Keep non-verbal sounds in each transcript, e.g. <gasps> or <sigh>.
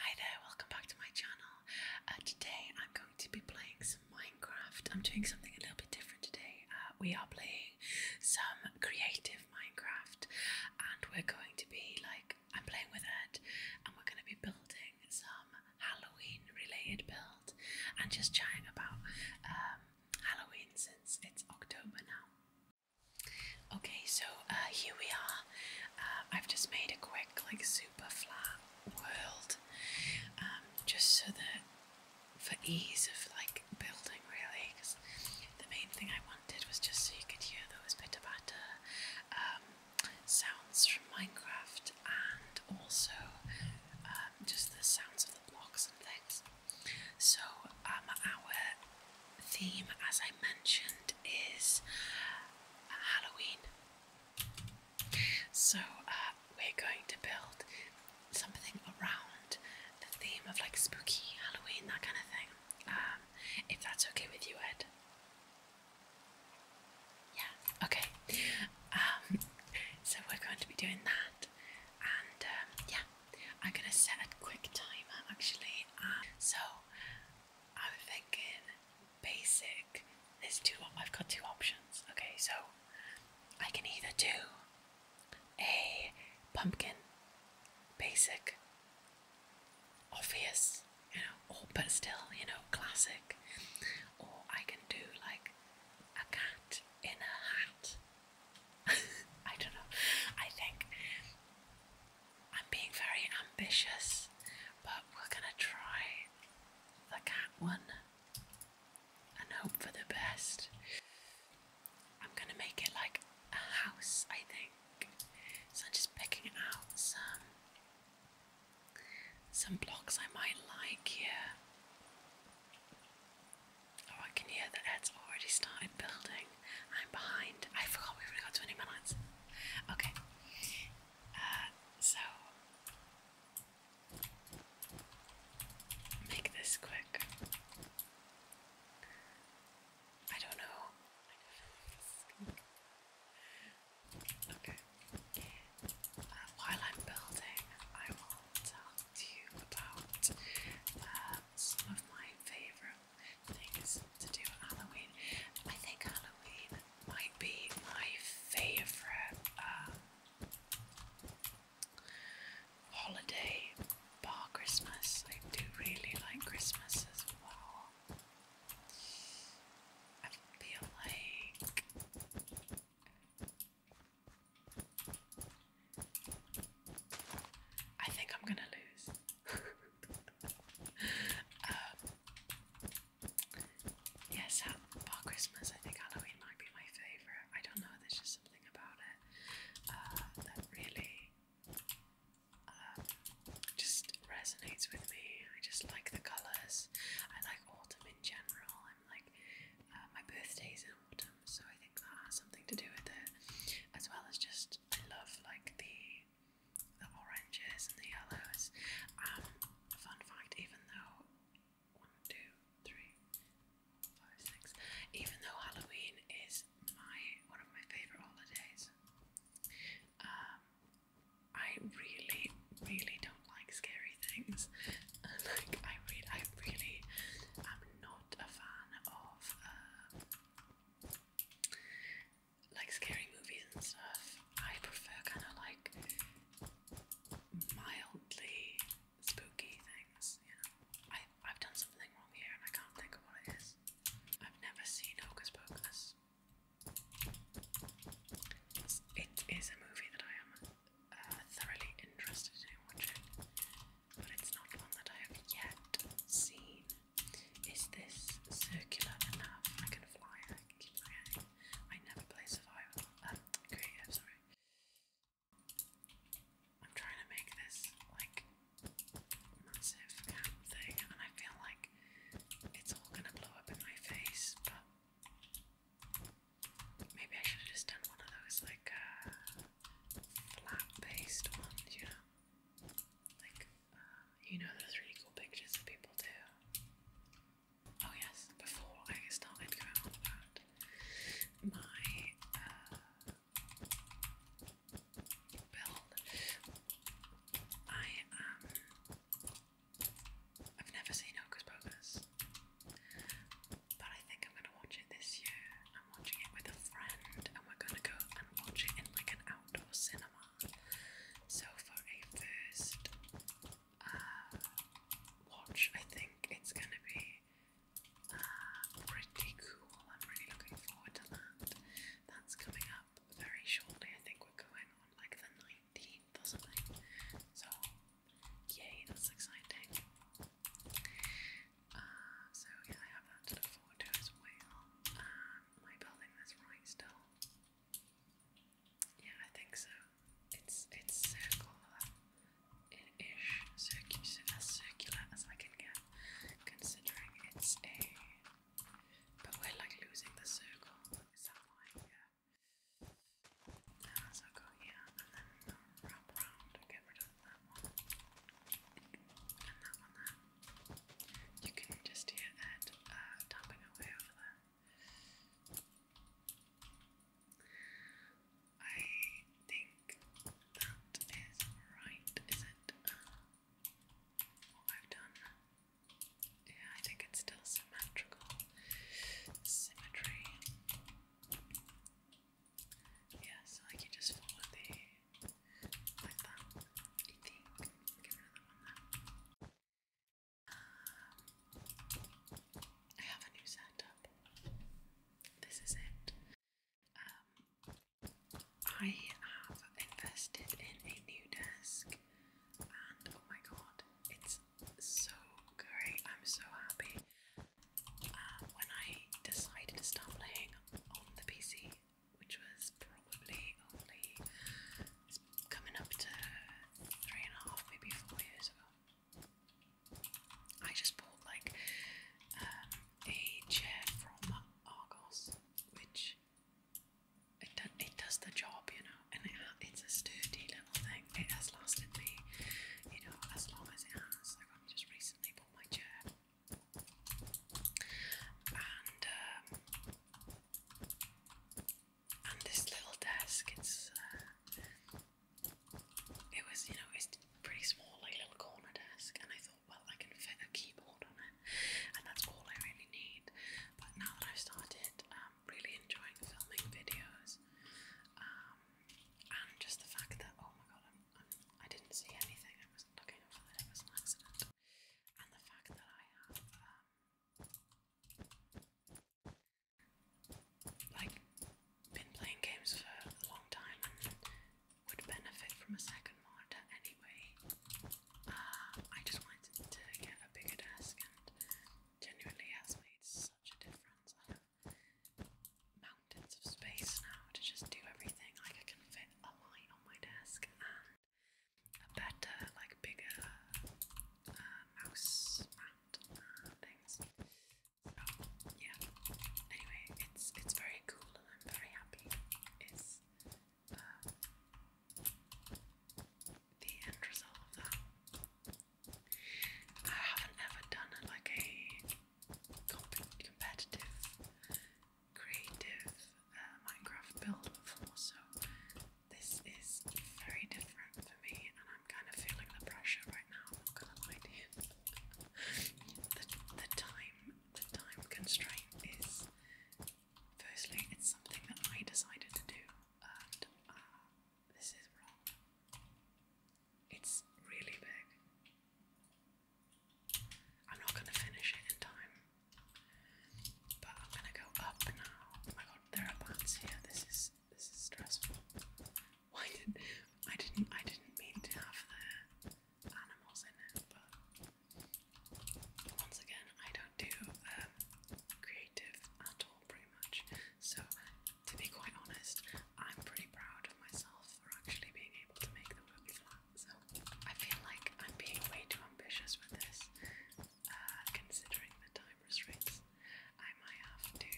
Hi there, welcome back to my channel. Uh, today I'm going to be playing some Minecraft. I'm doing something a little bit different today. Uh, we are playing some creative Minecraft and we're going to be like, I'm playing with it, and we're going to be building some Halloween related build and just chatting about um, Halloween since it's October now. Okay, so uh, here we are. Uh, I've just made a quick, like, super flat world, um, just so that for ease of like building, really, because the main thing I wanted was just so you could hear those bit patter um, sounds from Minecraft and also um, just the sounds of the blocks and things. So, um, our theme, as I mentioned, is Halloween. So uh, we're going to build something around the theme of like spooky Halloween, that kind of thing. Um, if that's okay with you, Ed. Yeah, okay. Um, so we're going to be doing that, and um, yeah, I'm gonna set a quick timer actually. Uh, so I'm thinking basic. There's two. I've got two options. Okay, so I can either do a pumpkin basic, obvious, you know, but still, you know, classic, or I can do like a cat in a hat. <laughs> I don't know. I think I'm being very ambitious, but we're gonna try the cat one and hope for the best. I'm gonna make it like a house, I think. So I'm just picking out some some blocks I might like here. Oh, I can hear that Ed's already started building. I'm behind. I forgot we only got 20 minutes. Okay. Uh, so. Make this quick. I don't know. Okay. Uh, while I'm building, I will talk you about uh, some of my favorite things to do at Halloween. I think Halloween might be my favourite um, holiday bar Christmas. I do really like Christmas as well. I feel like I think I'm gonna lose. yes, <laughs> um, yeah, Christmas. I think Halloween might be my favourite. I don't know. There's just something about it uh, that really uh, just resonates with me. I just like the colours. I like autumn in general. I'm like uh, my birthday's in autumn, so I think that has something to do with it, as well as just just love like the the oranges and the yellows. Um, fun fact, even though one, two, three, four, five, six, even though Halloween is my one of my favourite holidays, um, I really, really don't like scary things. <laughs> like I really, I really am not a fan of. Uh, like scary movies and stuff, I prefer kind of like mildly spooky things. You know, I I've done something wrong here and I can't think of what it is. I've never seen Hocus Pocus. It's, it is a movie that I am uh, thoroughly interested in watching but it's not one that I have yet seen. Is this circular enough? I can fly I can keep I never play survival, um, creative, sorry. I'm trying to make this, like, massive camp thing, and I feel like it's all gonna blow up in my face, but maybe I should have just done one of those, like, uh, flat-based ones, you know? Like, um, you know those really cool pictures that people do. Oh yes, before I started going on about my uh, build, I um, I've never seen Hocus Pocus but I think I'm gonna watch it this year. I'm watching it with a friend, and we're gonna go and watch it in like an outdoor cinema. So for a first uh, watch, I think it's gonna be uh, pretty cool. I'm really looking forward to that. That's coming up very shortly. I think we're going on like the 19th or something. So, yay, that's exciting. Uh, so yeah, I have that to look forward to as well. Um, am building this right still? Yeah, I think so. It's it's circular, ish, circular, as circular as I can get, considering it's a. But we're like losing the circle. Is that why? Yeah. Now, so go here and then um, wrap around that You can just hear Ed uh, away over there. I think that is right, is it? what I've done. Yeah, I think it's still symmetrical. Symmetry. Yeah, so like you just follow the like that. I um, think. I have a new setup. This is it. Um, I have invested in a new desk, and oh my god, it's so great. I'm so happy. Uh, when I decided to start playing on the PC, which was probably only coming up to three and a half, maybe four years ago. I just bought like um, a chair from Argos, which it, do it does the job, you know, and it, it's a sturdy minimal thing. It has lasted me, you know, as long as it has. I've only just recently bought my chair. And um, and this little desk, it's uh, it was, you know, it's pretty small, like little corner desk, and I thought, well, I can fit a keyboard on it, and that's all I really need. But now that I've started um, really enjoying filming videos, um, and just the fact that oh my god, I'm, I'm, I did not see anything. I wasn't looking for that. It was an accident, and the fact that I have um, like been playing games for a long time and would benefit from a second monitor anyway. Uh, I just wanted to get a bigger desk and genuinely has made such a difference mountains of space now to just do everything. Like I can fit a light on my desk and a better, like bigger uh, mouse mat things. So yeah. Anyway, it's it's very cool and I'm very happy. It's uh, the end result of that. I haven't ever done like a competitive, creative uh, Minecraft build before, so this is very different for me, and I'm kind of feeling the pressure right now. the, time, the time constraint is. Firstly, it's something that I decided to do, and uh, this is wrong. It's really big. I'm not gonna finish it in time. But I'm gonna go up now. Oh my god, there are bats here. This is this is stressful. Why did I didn't I didn't mean to have the animals in it, but once again I don't do um, creative at all pretty much. So, to be quite honest, I'm pretty proud of myself for actually being able to make the look flat. So, I feel like I'm being way too ambitious with this, uh, considering the time constraints. I might have to.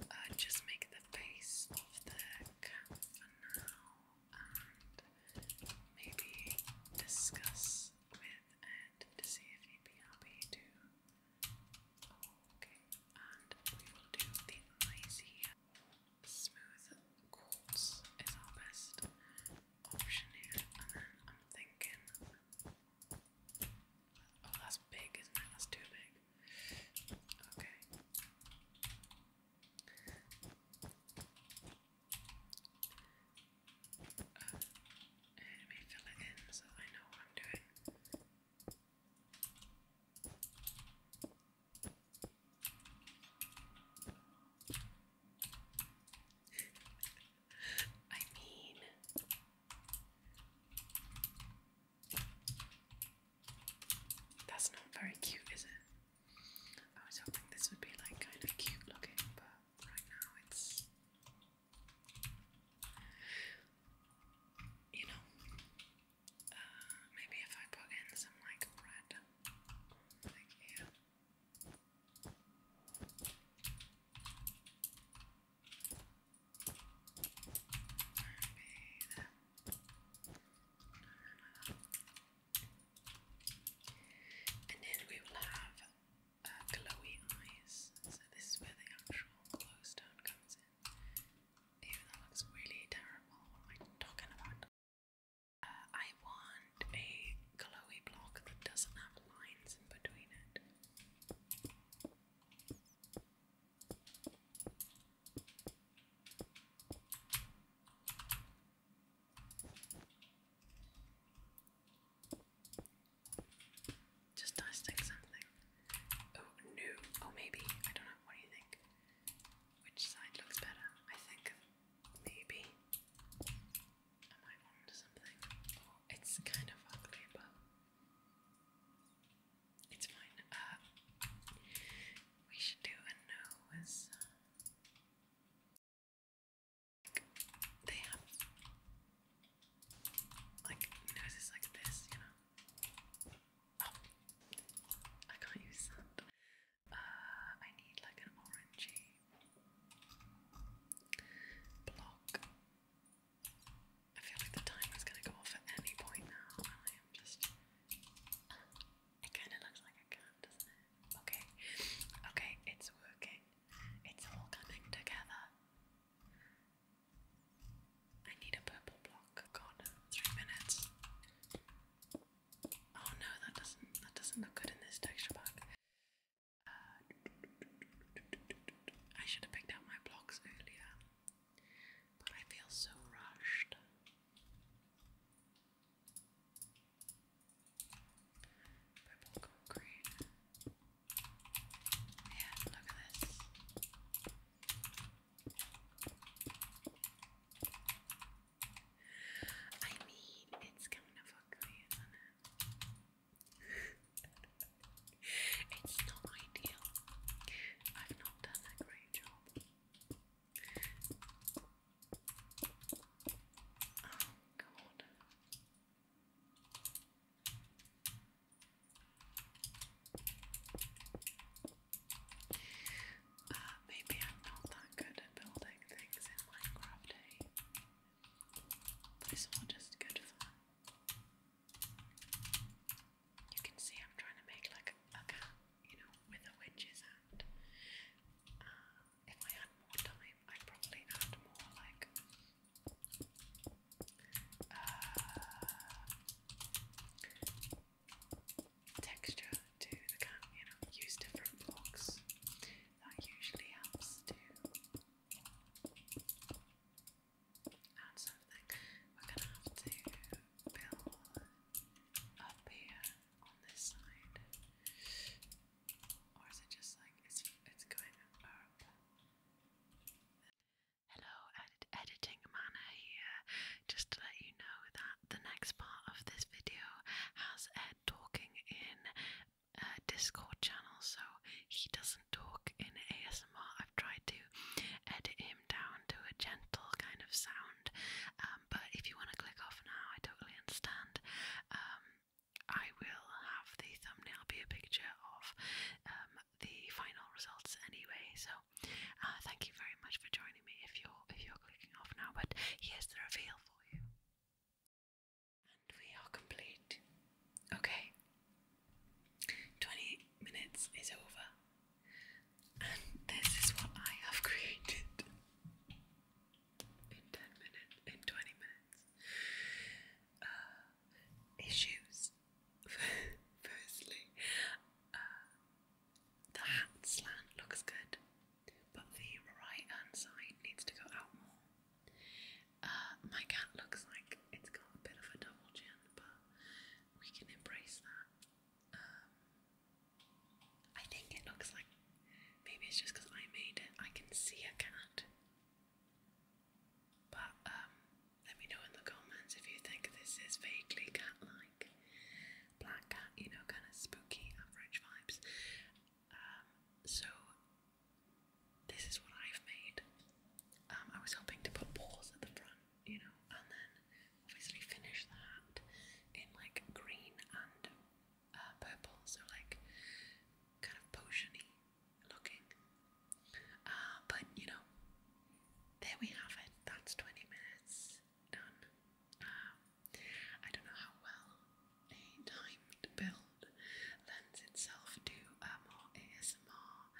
Uh, just make the face of the cat for now and maybe discuss with and to see if he'd be happy to. Okay, and we will do the ice Smooth quartz is our best option here, I'm thinking. Oh, that's big, isn't it? That's too big. Okay. Uh, let me fill it in so I know what I'm doing. I mean, that's not very cute, is it? I was hoping this would be like kind of cute looking, but right now it's. You know, uh, maybe if I put in some like red, like here. And then we will have uh, glowy eyes. So this is where the actual glowstone comes in. Even that looks really terrible. What am I talking about? Uh, I want a glowy block that doesn't have lines in between it. Just dissect something. Oh, no. Oh, maybe. I don't know. What do you think? Which side looks better? I think maybe I might want something. Oh, it's kind of ugly, but it's fine. Uh, we should do a nose. They like noses like this, you know. Oh, I can't use that. Uh, I need like an orangey block. I feel like the timer's gonna go off at any point now, and I am just. It kind of looks like a cat, doesn't it? Okay, okay, it's working. It's all coming together. I need a purple block. God, three minutes. Oh no, that doesn't that doesn't look good in this texture pack. Uh, I should have picked out my blocks earlier. But I feel so rushed. Purple concrete. Yeah, look at this. I mean, it's kind of ugly, is it's not ideal. I've not done a great job. Oh, God. maybe I'm not that good at building things in Minecraft, eh? But it's all just good fun. You can see I'm trying to make like a cat, you know, with a witch's hand. if I had more time, I'd probably add more like uh, texture to the cat, you know, use different blocks. That usually helps to and something. gonna have it Hello, editing manner here. Just to let you know that the next part of this video has Ed talking in a Discord channel, so he doesn't talk in ASMR. I've tried to edit him down to a gentle kind of sound. Um, but if you want to click off now, I totally understand. Um, I will have the thumbnail be a picture of um, the final results anyway. So uh, thank you very much for joining me. If you're if you're clicking off now, but here's the reveal for you. we are complete. Okay, 20 minutes is over, and this is what I have created in 10 minutes, in 20 minutes. Uh, issues. <laughs> Firstly, uh, the hat slant looks good, but the right hand side needs to go out more. Uh, my cat looks like it's got a bit of a double chin, but we can embrace that. Um, I think it looks like maybe it's just because I made it. I can see a cat. But um, let me know in the comments if you think this is vaguely cat-like, black cat, you know, kind of spooky average vibes. Um, so this is what I've made. Um, I was hoping to put balls at the front, you know, and then obviously finish that in like green and uh, purple, so like kind of potiony looking. Uh, but you know, there we have it. That's 20 minutes done. Um, I don't know how well a timed build lends itself to uh, a more ASMR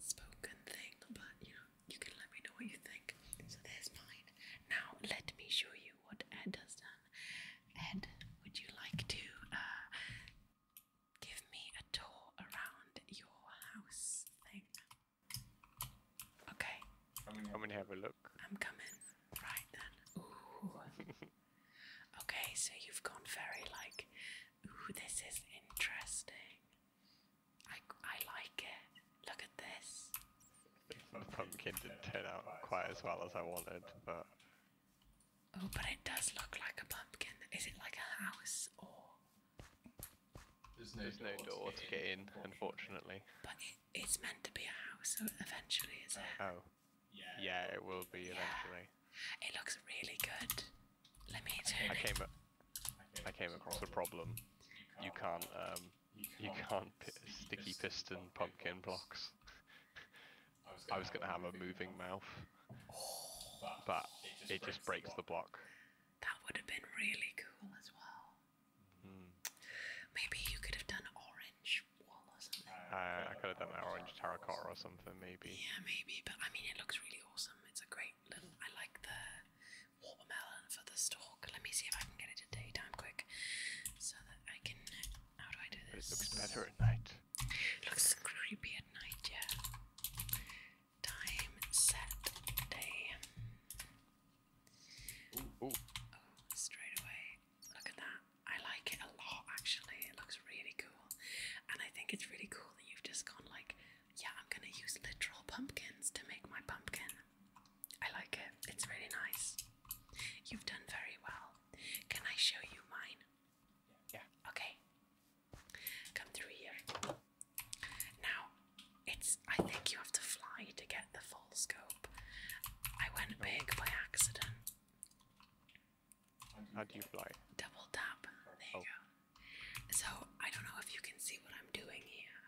spoken thing, but you know, you can let me know what you think. So there's mine. Now let me show you what Ed has done. Ed, would you like to uh, give me a tour around your house Okay. I'm gonna have a look. I'm coming. Right then. <laughs> Okay, so you've gone very like, ooh, this is interesting. I, I like it. Look at this. <laughs> Pumpkin didn't turn out quite as well as I wanted, but. Oh, but it does look like a pumpkin. Is it like a house or? There's no, door, to get in, unfortunately. But it, it's meant to be a house so eventually, is it? Oh. Yeah, yeah it will be eventually. It looks really good. I came, it. came across a problem. You can't, um, you can't sticky piston pumpkin blocks. I was gonna have a moving mouth, but it just breaks the block. That would have been really cool as well. Hmm. Maybe you could have done orange wall or something. I could have done orange terracotta or something. Yeah, maybe. But I mean, it looks really awesome. It's a great little. I like the watermelon for the stalk. Let me see if I can get it in daytime quick, so that I can. How do I do this? it looks better at night. It looks creepy at night, yeah. Time set day. Ooh, Oh, straight away. Look at that. I like it a lot actually. It looks really cool. And I think it's really cool that you've just gone like, yeah, I'm gonna use literal pumpkins to make my pumpkin. I like it. It's really nice. You've done very well. Can I show you mine? Yeah. Okay. Come through here. Now, it's I think you have to fly to get the full scope. I went big by accident. How do you fly? Double tap. There oh. you go. So, I don't know if you can see what I'm doing here.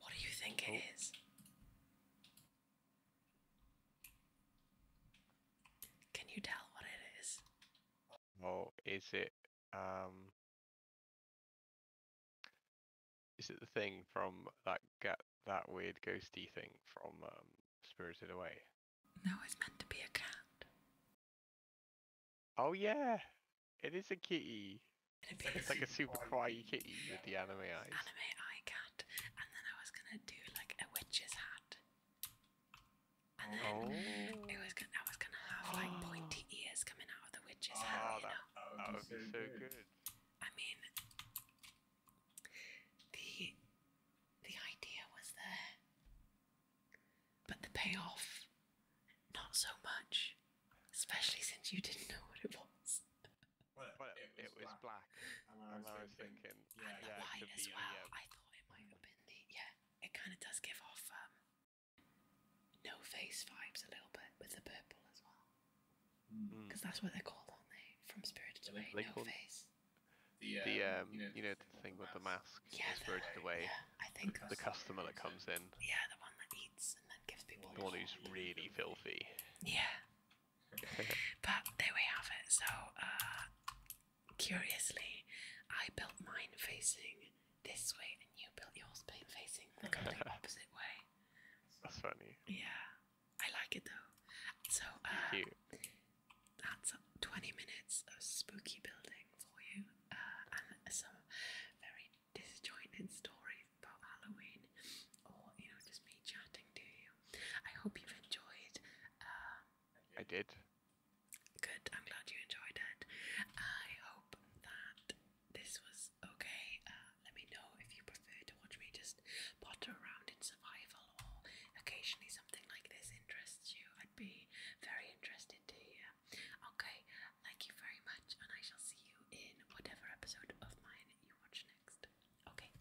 What do you think oh. it is? Can you tell what it is? Oh, is it, um... Is it the thing from that gap? that weird ghosty thing from um, Spirited Away. No, it's meant to be a cat. Oh yeah, it is a kitty. it's like a super quiet kitty with the anime eyes. Anime eye cat, and then I was gonna do like a witch's hat, and then it was oh. gonna, I was gonna have like pointy <gasps> ears coming out of the witch's oh, hat. You that, know? that would be so good. I mean, the the idea was there, but the payoff not so much, especially since you didn't know what it was. Well, it, was black, and I was, thinking, yeah, yeah, white as well. I thought it might have been the yeah. It kind of does give off um, no face vibes a little bit with the purple as well. Mm. because that's what they're called, aren't From spirit Away, Link No Hunt? Face. The, um, um, you know, the thing with the mask, yeah, the- Spirited Away, I think the customer that comes in, yeah, the one that eats and then gives people. the one who's really filthy. Yeah. but there we have it. So, uh, curiously, I built mine facing this way, and you built yours facing the complete <laughs> opposite way. That's funny. Yeah. I like it though. So uh, that's 20 minutes of spooky building for you, uh, and some very disjointed stories about Halloween, or you know, just me chatting to you. I hope you've enjoyed. Uh, I did. Good. I'm glad you enjoyed it. I hope that this was okay. Uh, let me know if you prefer to watch me just potter around in survival or occasionally something like this interests you. I'd be very interested to hear. Okay, thank you very much, and I shall see you in whatever episode of mine you watch next. Okay.